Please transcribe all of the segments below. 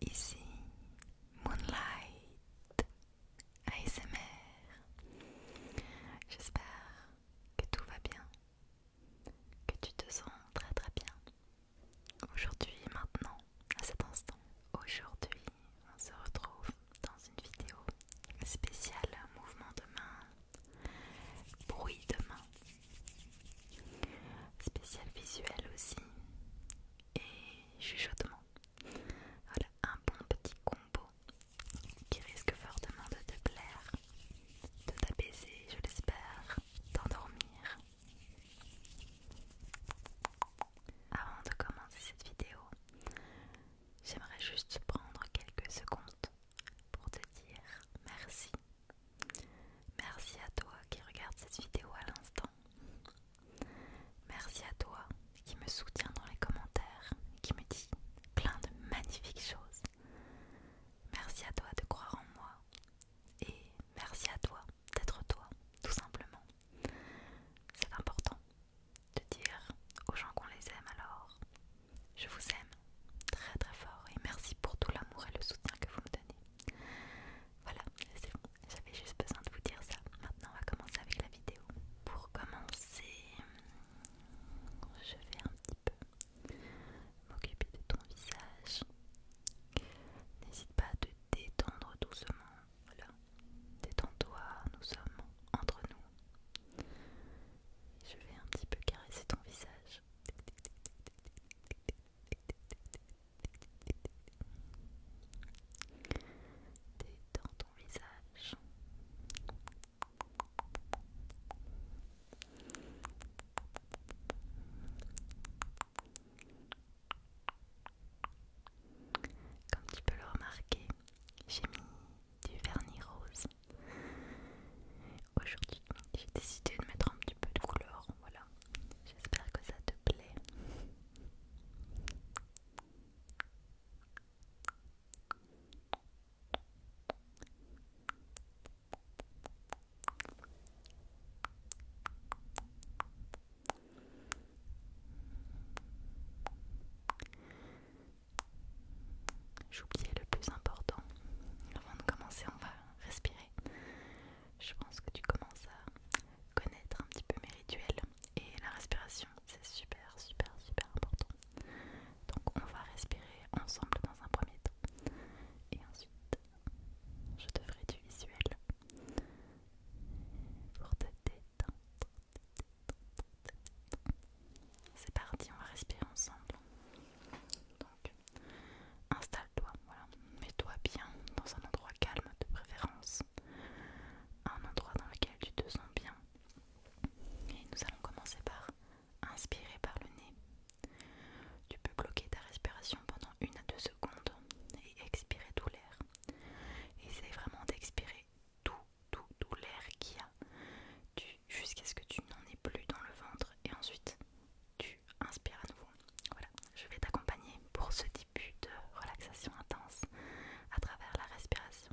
Ici Moonlight ASMR. J'espère que tout va bien, que tu te sens très très bien. Aujourd'hui, maintenant, à cet instant, aujourd'hui, on se retrouve dans une vidéo spéciale mouvement de main, bruit de main, spécial visuel aussi et chuchotement. Voilà un bon petit combo qui risque fortement de te plaire, de t'apaiser, je l'espère, d'endormir. Avant de commencer cette vidéo, J'aimerais juste prendre quelques secondes pour te dire merci. Merci à toi qui regarde cette vidéo à l'instant. Merci à toi qui me soutient dans les commentaires, qui me dit plein de magnifiques choses. Merci à toi de croire en moi. Et merci à toi d'être toi, tout simplement. C'est important de dire aux gens qu'on les aime alors. Je vous aime très très fort et merci pour tout l'amour et le soutien que vous me donnez. Voilà, c'est bon, j'avais juste besoin de vous dire ça. Maintenant, on va commencer avec la vidéo. Pour commencer, je vais un petit peu m'occuper de ton visage. N'hésite pas à te détendre doucement voilà, détends-toi, nous sommes entre nous. Je vais un petit peu caresser ton visage. Détends ton visage. Comme tu peux le remarquer, j'ai mis du vernis rose. Aujourd'hui, j'ai décidé de mettre un petit peu de couleur. Voilà, j'espère que ça te plaît. J'oubliais le plus important. Avant de commencer, on va respirer. Je pense que tu commences à connaître un petit peu mes rituels. Et la respiration, c'est super, super, super important. Donc on va respirer ensemble dans un premier temps. Et ensuite, je te ferai du visuel pour te t'aider c'est parti, on va respirer ensemble. installe-toi, Mets-toi bien dans un endroit calme de préférence. Un endroit dans lequel tu te sens bien. Et nous allons commencer par inspirer par le nez. Tu peux bloquer ta respiration pendant une à deux secondes et expirer tout l'air. Essaye vraiment d'expirer tout, tout, tout l'air qu'il y a jusqu'à ce que tu n'en aies plus dans le ventre et ensuite tu inspires à nouveau. Voilà, je vais t'accompagner pour ce début de relaxation intense à travers la respiration.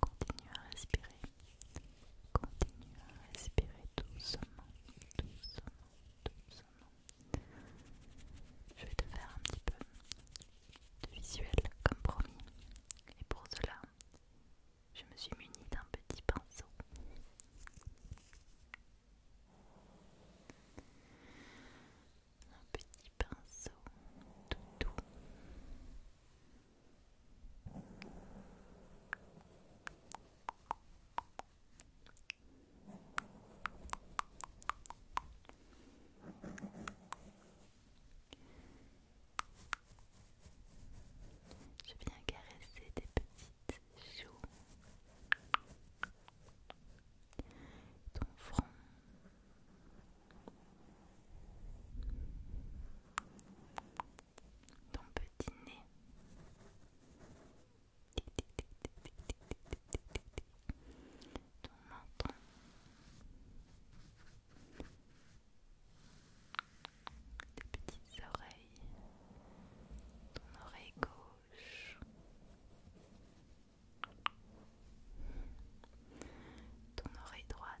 Continue à respirer. Continue à respirer doucement, doucement, doucement. Je vais te faire un petit peu de visuel comme promis. Et pour cela, je me suis munie d'un petit pinceau. Un petit pinceau tout doux. Je viens caresser tes petites joues, ton front. Ton petit nez. Ton menton tes petites oreilles, ton oreille gauche, ton oreille droite.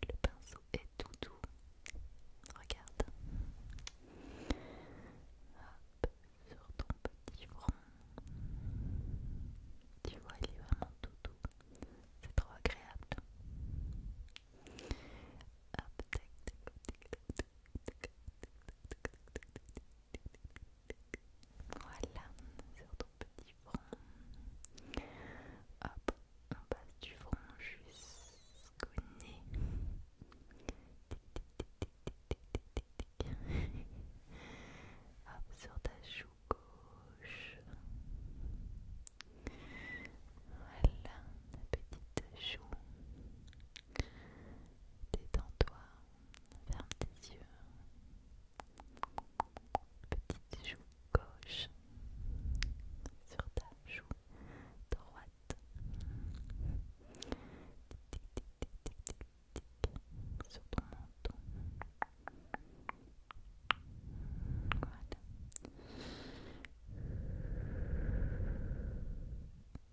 Le pinceau est tout doux. Regarde. sur ton petit front. Tu vois, il est vraiment tout doux. C'est trop agréable. Voilà, sur ton petit front. Hop, on passe du front jusqu'au nez. Hop, sur ta joue gauche. Voilà, la petite joue. Détends-toi ferme tes yeux, petite joue gauche sur ta joue droite, tic, sur ton menton. Voilà.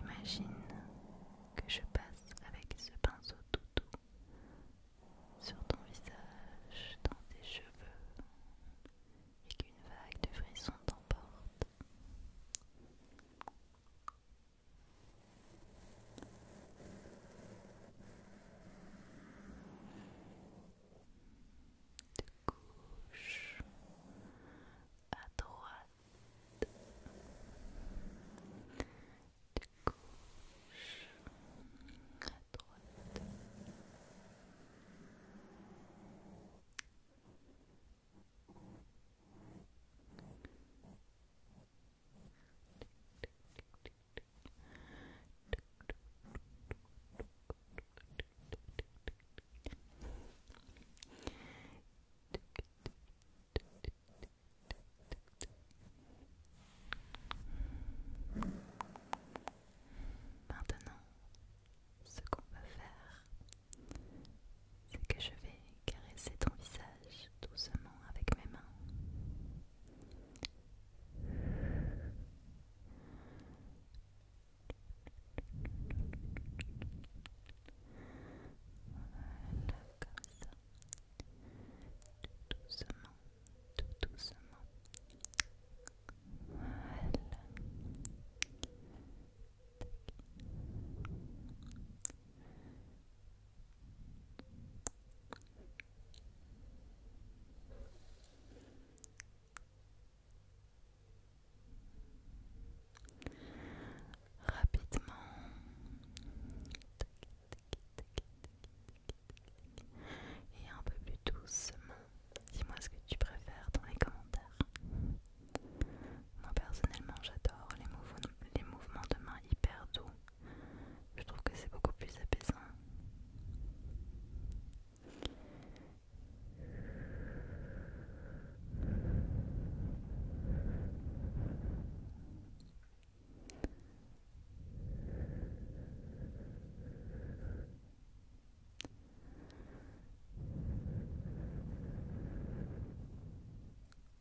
Imagine que je passe avec ce pinceau tout doux sur ton visage, dans tes cheveux, et qu'une vague de frissons t'emporte de gauche à droite, de gauche à droite. Maintenant, ce qu'on va faire, c'est que je vais caresser ton visage doucement avec mes mains. Voilà, comme ça. Tout doucement, tout doucement. Voilà. Rapidement. Et un peu plus doucement. Dis-moi ce que tu préfères dans les commentaires. Moi personnellement j'adore les, mouvements de mains hyper doux. Je trouve que c'est beaucoup plus apaisant.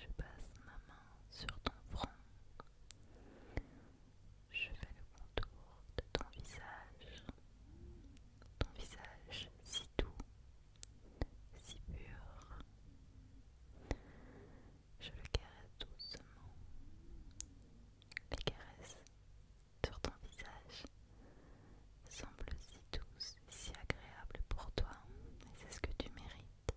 Je passe ma main sur ton front. Je fais le contour de ton visage. Ton visage si doux, si pur. Je le caresse doucement. Les caresses sur ton visage semble si douces, si agréable pour toi, et c'est ce que tu mérites.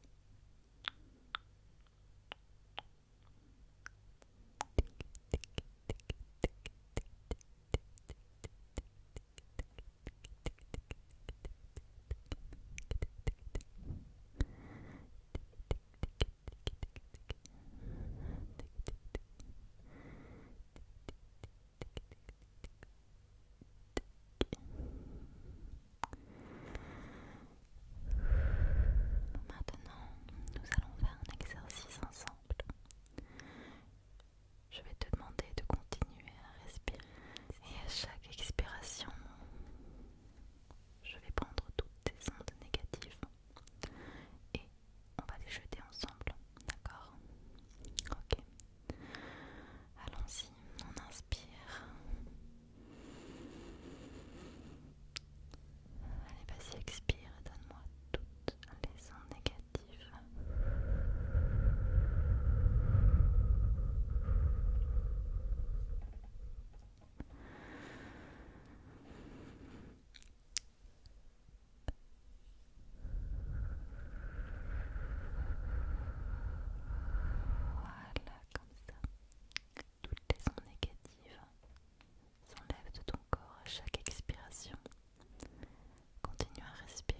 Maintenant, nous allons faire un exercice ensemble. Je vais te demander de continuer à respirer et à chaque expiration, je vais prendre toutes tes ondes négatives et on va les jeter ensemble, d'accord Ok. Allons-y, on inspire. Allez, vas-y, expire donne-moi toutes les ondes négatives. Voilà, comme ça. Toutes les ondes négatives s'enlèvent de ton corps à chaque expiration. Continue à respirer.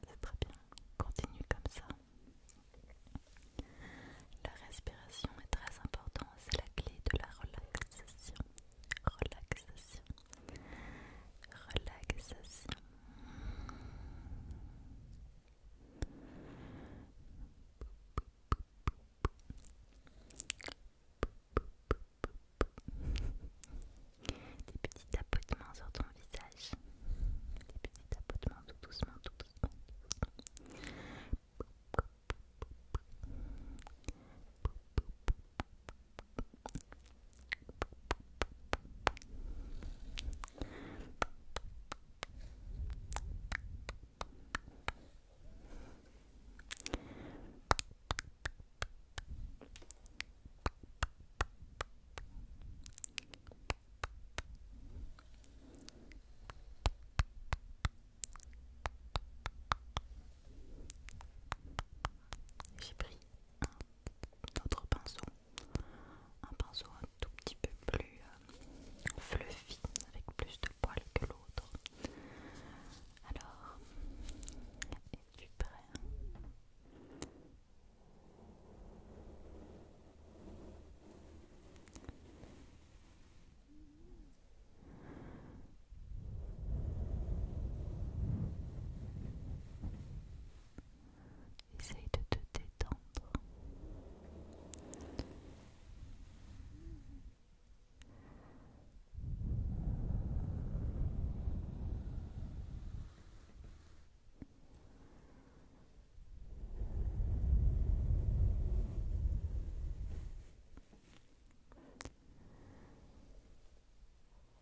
C'est très bien, continue comme ça. La respiration est très importante, c'est la clé de la relaxation. Relaxation. Relaxation. Des petits tapotements sur ton visage. Des petits tapotements tout doucement, tout doucement. J'ai pris notre pinceau, un pinceau un tout petit peu plus euh, fluffy avec plus de poils que l'autre. Alors, es-tu prêt Essaye de te détendre.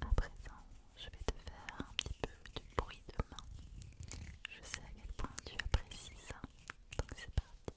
À présent, je vais te faire un petit peu de bruit de main. Je sais à quel point tu apprécies ça, donc c'est parti.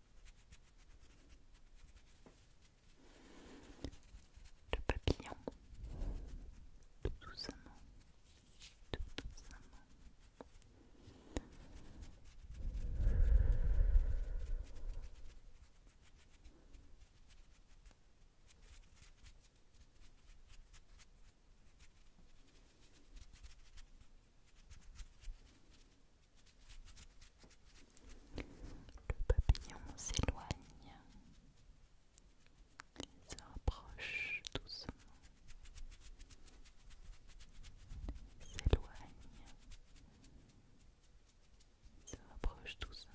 le papillon, tout doucement, tout doucement, le papillon s'éloigne Il se rapproche doucement. S'éloigne, se rapproche doucement.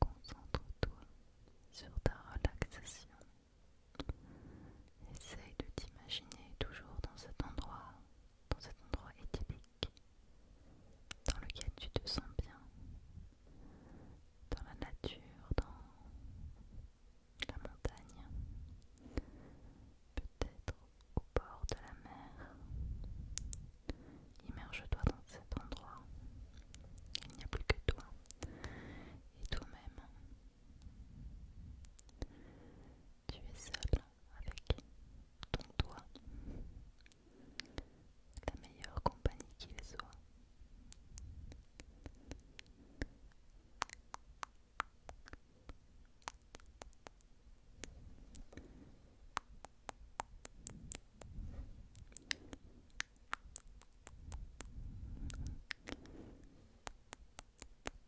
Concentre-toi sur ta relaxation Essaye de t'imaginer toujours dans cet endroit, dans cet endroit idyllique, dans lequel tu te sens bien, dans la nature, dans la montagne, peut-être au bord de la mer. Immerge-toi dans cet endroit. Il n'y a plus que toi et toi-même tu es seul avec ton doigt, la meilleure compagnie qui les soit.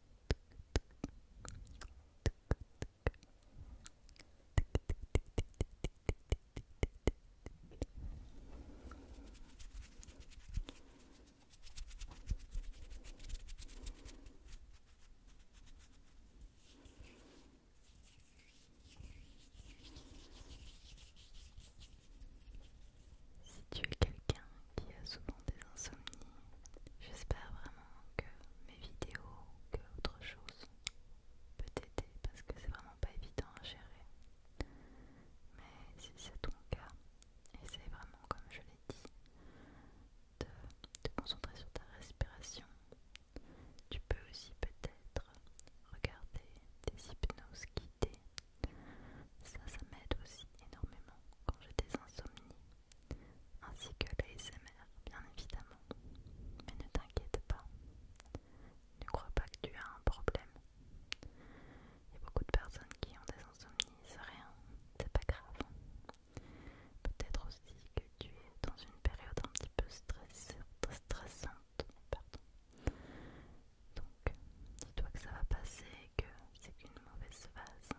Si tu es quelqu'un qui a souvent des insomnies. J'espère vraiment que mes vidéos, que autre chose peut t'aider parce que c'est vraiment pas évident à gérer. Mais si c'est ton cas, essaie vraiment, comme je l'ai dit, de te concentrer sur ta respiration. Tu peux aussi peut-être regarder des hypnoses guidées. Ça, ça m'aide aussi énormément quand j'ai des insomnies ainsi que l'ASMR bien évidemment. Mais ne t'inquiète pas, ne crois pas que tu as un problème. Il y a beaucoup de personnes qui ont des insomnies, c'est rien, c'est pas grave. Peut-être aussi que tu es dans une période un petit peu stressante. Donc, dis-toi que ça va passer que c'est une mauvaise phase.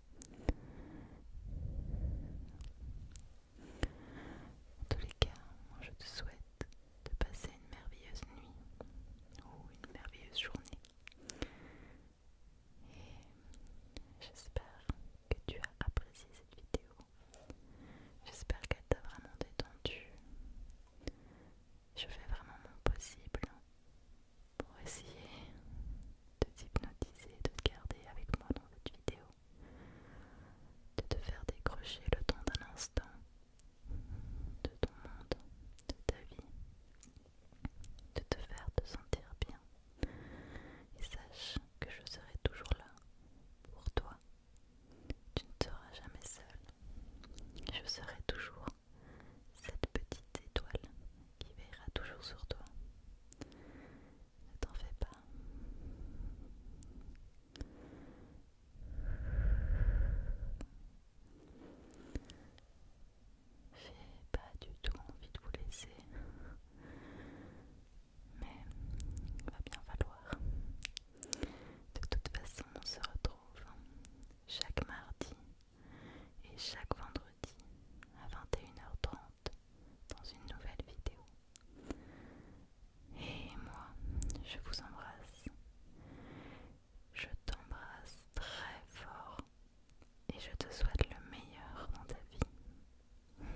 En tous les cas, moi je te souhaite de passer une merveilleuse nuit ou une merveilleuse journée. Et j'espère que tu as apprécié cette vidéo. J'espère qu'elle t'a vraiment détendu. Je fais vraiment mon possible pour essayer de t'hypnotiser, de te garder avec moi dans cette vidéo, de te faire décrocher le temps d'un instant de ton monde, de ta vie, de te faire te sentir bien. Et sache que je serai toujours là pour toi. Tu ne seras jamais seul. Je serai toujours cette petite étoile qui veillera toujours sur toi. Ne t'en fais pas. Je n'ai pas du tout envie de vous laisser, mais il va bien falloir. De toute façon, on se retrouve chaque mardi et chaque vendredi à 21h30 dans une nouvelle vidéo. Et moi, je vous embrasse. Je t'embrasse très fort et je te souhaite le meilleur dans ta vie.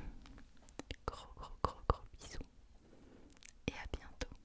Gros gros gros gros bisous et à bientôt.